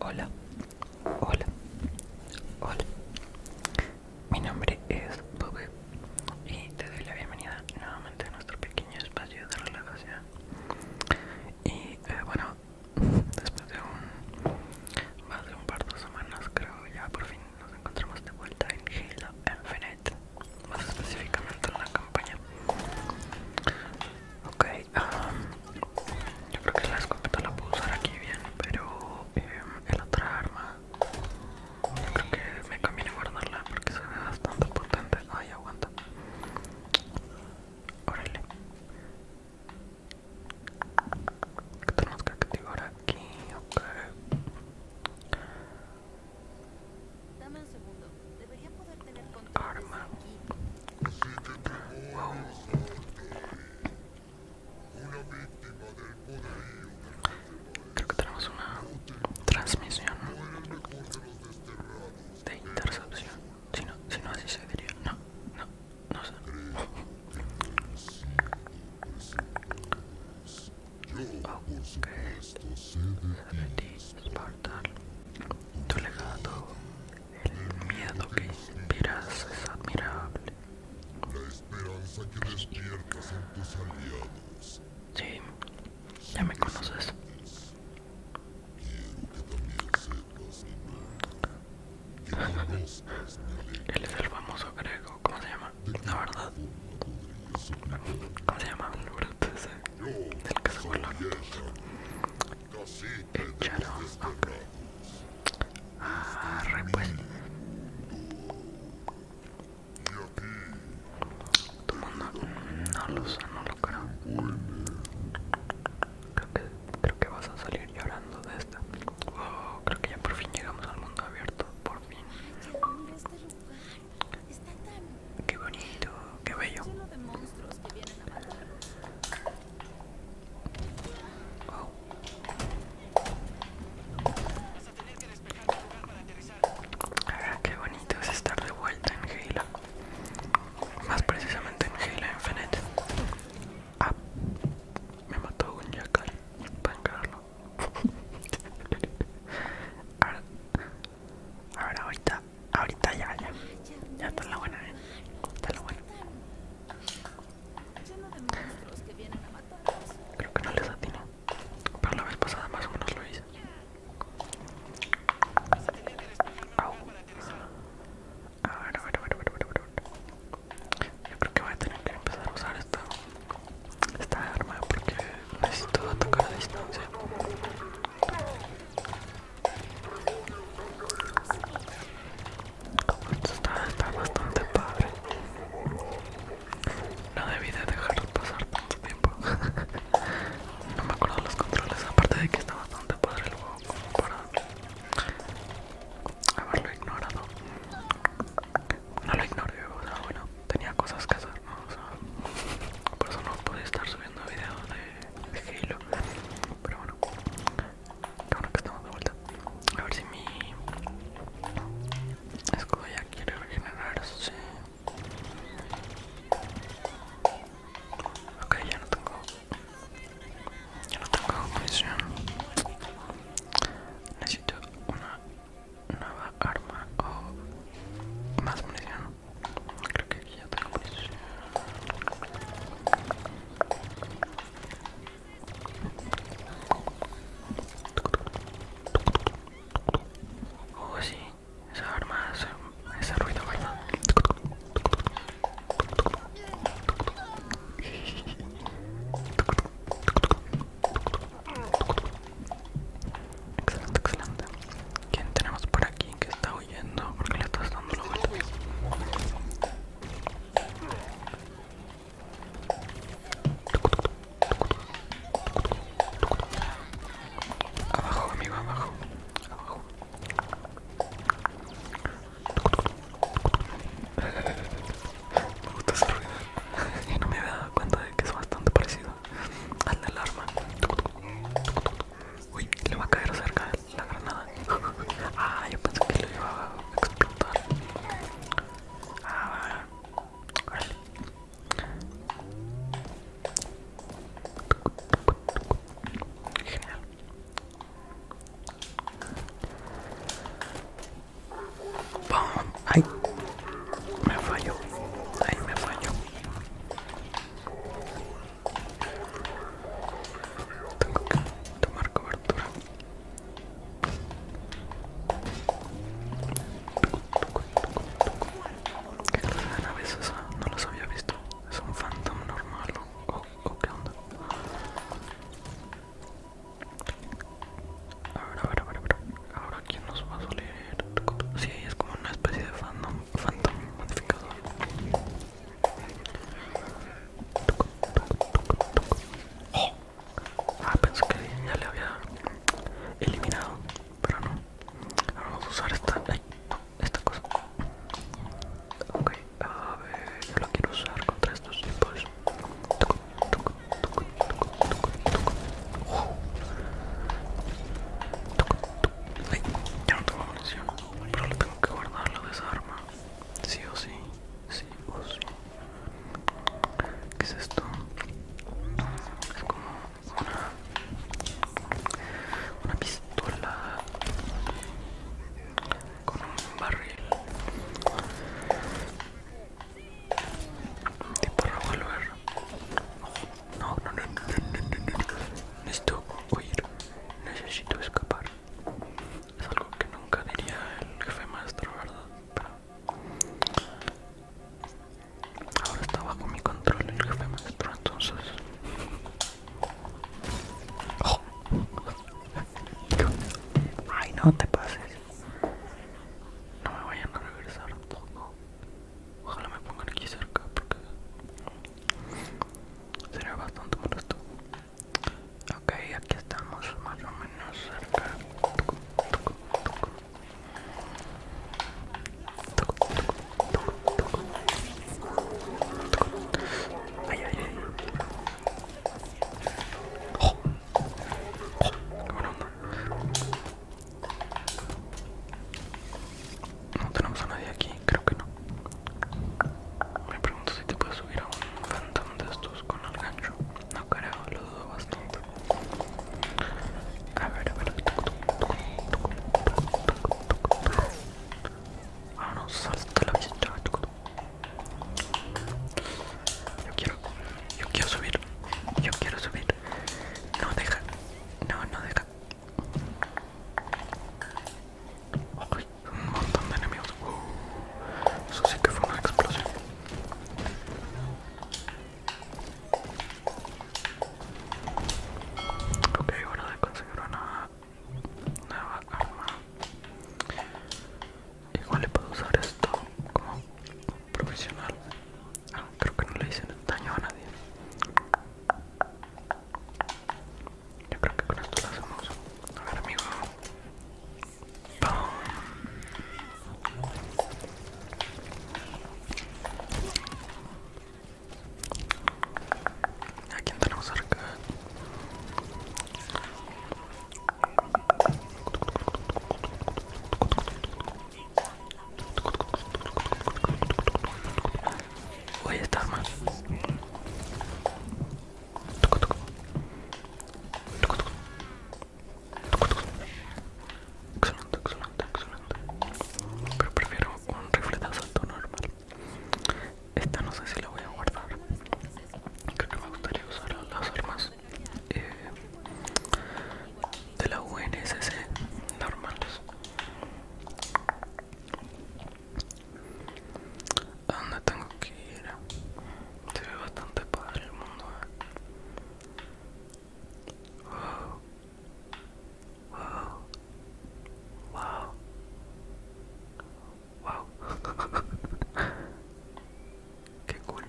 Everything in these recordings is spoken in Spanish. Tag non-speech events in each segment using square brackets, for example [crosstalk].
Hola, hola, hola. Mi nombre es Bobby y te doy la bienvenida nuevamente a nuestro pequeño espacio de relajación. Y eh, bueno, [laughs] después de un más de un par de semanas creo ya por fin nos encontramos de vuelta en Halo Infinite más específicamente en la campaña. Ok, um, yo creo que la escopeta la puedo usar aquí bien, pero em, el otra arma, yo creo que me conviene guardarla porque se ve bastante potente. Ay, aguanta. Órale. ¿Qué tenemos que activar aquí? Ok. Dame un segundo. Debería poder tener control Arma. Wow. Creo que tenemos una transmisión No de intercepción. Si no, si no así se diría. No, no, no sé. [laughs] aunque de ti, Esparta, tu legado, el miedo que inspiras es admirable. La esperanza que despiertas en tus aliados. Sí, ya me conoces. Quiero que también sepas el nombre. Él es el famoso grego, ¿cómo se llama? la verdad. ¿Cómo se llama el ese? Del que se vuelve loco. ya no Ah, Tu mundo mm, no lo sé no lo creo. Creo que, creo que vas a salir llorando de esta. Oh, creo que ya por fin llegamos al mundo abierto, por fin. Qué bonito, qué bello. Oh. qué bonito es estar de vuelta en Halo. Más precisamente en Halo Infinite. Ah, me mató un jackal. Para encararlo ahora, ver, ahorita, ahorita ya, ya, ya está la buena, ¿eh? está la buena. Creo que no les atino, pero la vez pasada más o menos lo hice. Vas A ver, a ver, a ver, a ver, a ver, a ver. Yo creo que voy a tener que empezar a usar esta, esta arma porque necesito tocar a distancia. Esto está, bastante padre. No debí de pasar tanto tiempo. [laughs] no me acuerdo los controles, aparte de que está bastante padre el juego como para haberlo ignorado no lo ignoré, o bueno, tenía cosas que hacer, ¿no? O sea, por eso no pude estar subiendo videos de, Halo. Pero bueno, que que estamos de vuelta. A ver si mi escudo ya quiere regenerarse. Ok, ya no tengo. Ya no tengo munición una nueva arma o más munición. Creo que ya tengo eso Oh, sí, esa arma hace ese ruido, [laughs] Excelente, excelente. ¿Quién tenemos por aquí que está huyendo? Porque le estás dando la vuelta. Abajo, amigo, abajo. Abajo. Me gusta ruido. Y no me había dado cuenta de que es bastante parecido al la arma. Uy, le va a caer cerca la granada. Ah, yo pensé que lo llevaba a explotar. Ah, Genial. Pum. Ay, me falló. Ay, me falló. Tengo que tomar cobertura. ¿Qué clase de nave esa? No las había visto. ¿Es un phantom normal o, o, o qué onda? A ver, a ver, a ver, Ahora quién nos va a salir? Sí, es como una especie de fandom, phantom modificador. Oh. Ah, pensé que ya le había eliminado, pero no. Ahora vamos a usar esta, esta cosa. Ok. A ver, yo lo quiero usar contra estos tipos. ya no tengo munición, pero le tengo que guardar, la desarma. Sí o sí, sí o sí. ¿Qué es esto? Es como una, una pistola con un barril tipo para no no no no necesito huir necesito escapar es algo que nunca diría el jefe maestro verdad pero ahora está bajo mi control el jefe maestro entonces Ay, no te pases. No me vayan a regresar. Ojalá me pongan aquí cerca porque sería bastante molesto. Ok, aquí estamos más o menos cerca. No tenemos a nadie aquí, creo que no. Me pregunto si te puedes subir a un phantom de estos con el gancho. No creo, lo dudo bastante. A ver, a ver. Ah no salta la vista. Yo quiero, yo quiero subir, yo quiero subir. No deja, no, no deja. Ay, un montón de enemigos. Uh, eso sí que fue una explosión. Ok, bueno, de conseguir una una vaca igual le puedo usar esto como profesional ah, creo que no le hice daño a nadie yo creo que con esto lo hacemos a ver amigo aquí quién tenemos Voy a estar más. Excelente, excelente, excelente. Pero prefiero un rifle de asalto normal. Esta no sé si la voy a guardar. Creo que me gustaría usar las armas eh, de la UNSC normales. ¿A dónde tengo que ir? Se ve bastante padre el mundo. Eh. Wow. Wow. Wow. [laughs] Qué cool.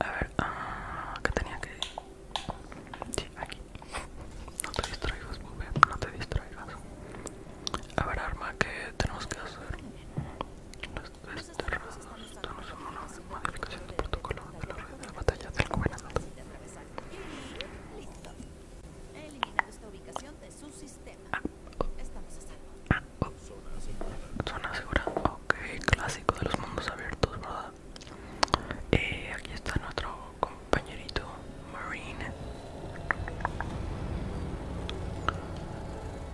A ver, ah, ¿qué tenía que Sí, aquí. No te distraigas, muy No te distraigas. A ver, arma, que tenemos que hacer? no es una modificación de protocolo de la red de batalla del Listo He esta ubicación de su sistema. Ah, oh. Estamos a salvo. Ah, oh. Zona segura, Ok, clásico de los mundos abiertos, ¿verdad? Eh, aquí está nuestro compañerito Marine.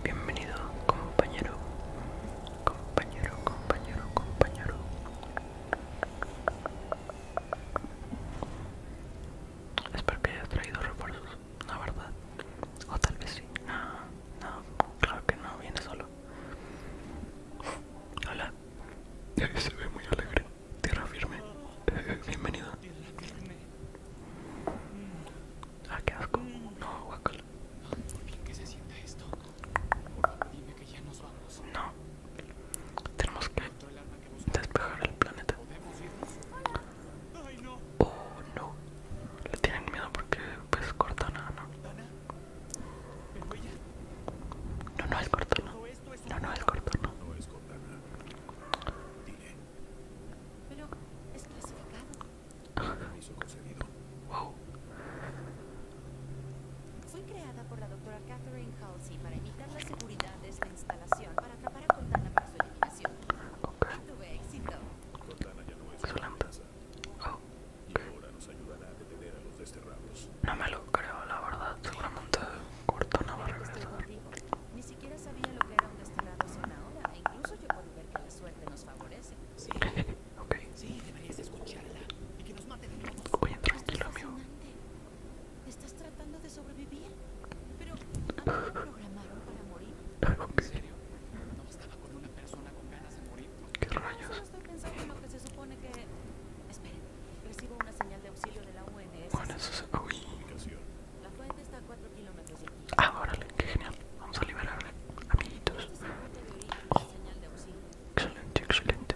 Bienvenido, compañero. Compañero, compañero, compañero. Espero que hayas traído refuerzos, la verdad. O tal vez sí. No, no, claro que no, viene solo. Hola. [laughs] Se ve muy alegre. Tierra firme. [laughs] bienvenido. Ah, qué asco. No, vamos. No, tenemos que despejar el planeta. Oh no, le tienen miedo porque es pues, Cortana, ¿no? No, no es Cortana. No, no es Cortana. Pero es wow. Fue creada por la doctora Catherine Halsey para imitar la seguridad de esta instalación para atrapar a Cortana para su eliminación. Ok Tuve éxito. Cortana ya no es Solamente. Oh. Y ahora nos ayudará a detener a los desterrados. No me lo creo, la verdad. Seguramente Cortana va a regresar. Ni siquiera sabía lo que era un desterrado sin ahora. E incluso yo puedo ver que la suerte nos favorece. Sí ok. Sí, amigo. ¿Estás tratando de sobrevivir? Pero [laughs] ¿En serio? con ¿Qué rayos? Bueno, eso Ah, órale, qué genial. Vamos a liberarle, amiguitos. Este oh. Excelente, excelente.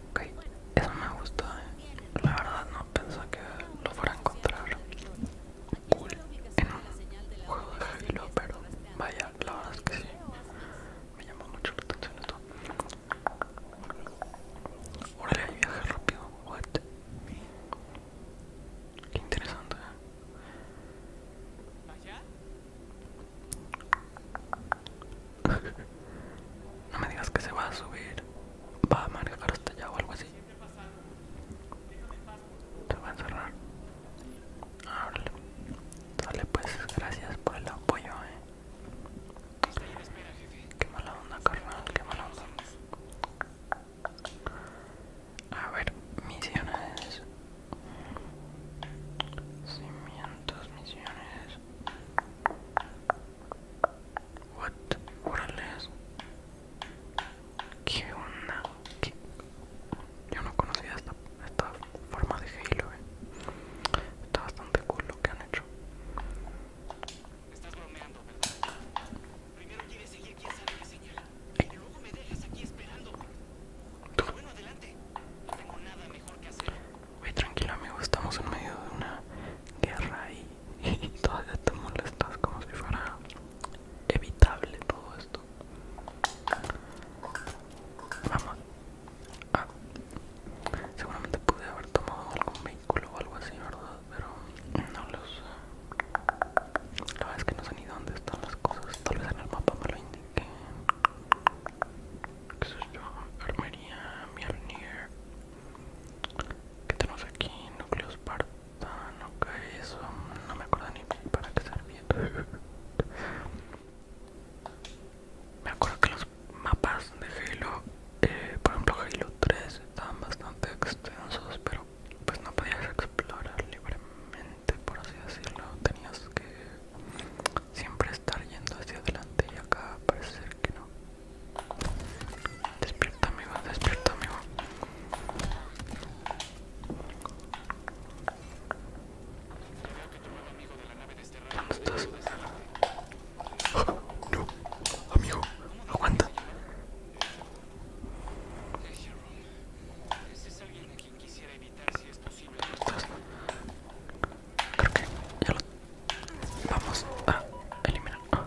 ok eso me gustó ¿eh? la verdad no pensé que lo fuera a encontrar cool en un juego de Halo pero vaya la verdad es que sí me llamó mucho la atención esto órale viaje rápido what qué interesante ¿eh? [laughs] no me digas que se va a subir. Va a manejar hasta allá o algo así. Se va a encerrar. Ábrele. Dale pues, gracias por el apoyo, eh. Qué mala onda, carnal, qué mala onda. A ver, misiones. Cimientos, misiones. What? Orales. ¿Qué onda? Yo no conocía esta, esta forma de Halo, eh. Está bastante cool lo que han hecho. Estás bromeando, ¿verdad? Primero quieres seguir quién sabe de señala. Y luego me dejas aquí esperando. Bueno, adelante. No tengo nada mejor que hacer. Oye, tranquilo amigo, estamos en medio de una guerra [laughs] y, todavía te molestas como si fuera evitable todo esto. Vamos. Ah, seguramente pude haber tomado algún vehículo o algo así, ¿verdad? Pero no sé La verdad es que no sé ni dónde están las cosas. Tal vez en el mapa me lo indique. ¿Qué soy yo? Armería, Mjolnir. ¿Qué tenemos aquí? Núcleo partano ¿qué eso? No me acuerdo ni para qué servía. [laughs] Me acuerdo que los mapas de Halo, eh, por ejemplo Halo 3, estaban bastante extensos, pero pues no podías explorar libremente, por así decirlo. Tenías que siempre estar yendo hacia adelante y acá parece ser que no. Despierta amigo, despierta amigo. ¿Dónde estás? Yo [laughs] no, amigo, aguanta. ¿Es quisiera vamos a eliminar. Ah,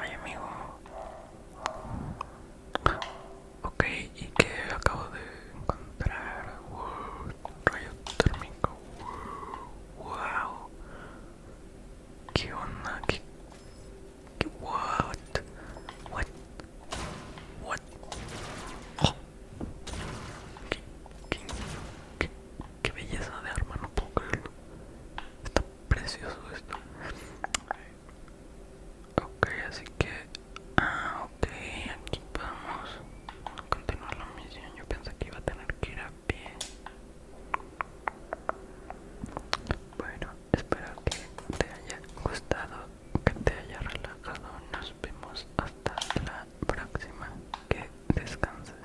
Ay, amigo. Ok, y que acabo de encontrar. Wow, rayo térmico. Wow, ¿Qué onda? ¿Qué, What? What? What? Oh. ¿Qué, qué, qué, qué belleza de arma, no puedo creerlo. Está precioso esto. Ok, así que... Ah, ok, aquí vamos continuar la misión. Yo pensé que iba a tener que ir a pie. Bueno, espero que te haya gustado, que te haya relajado. Nos vemos hasta la próxima. Que descanses.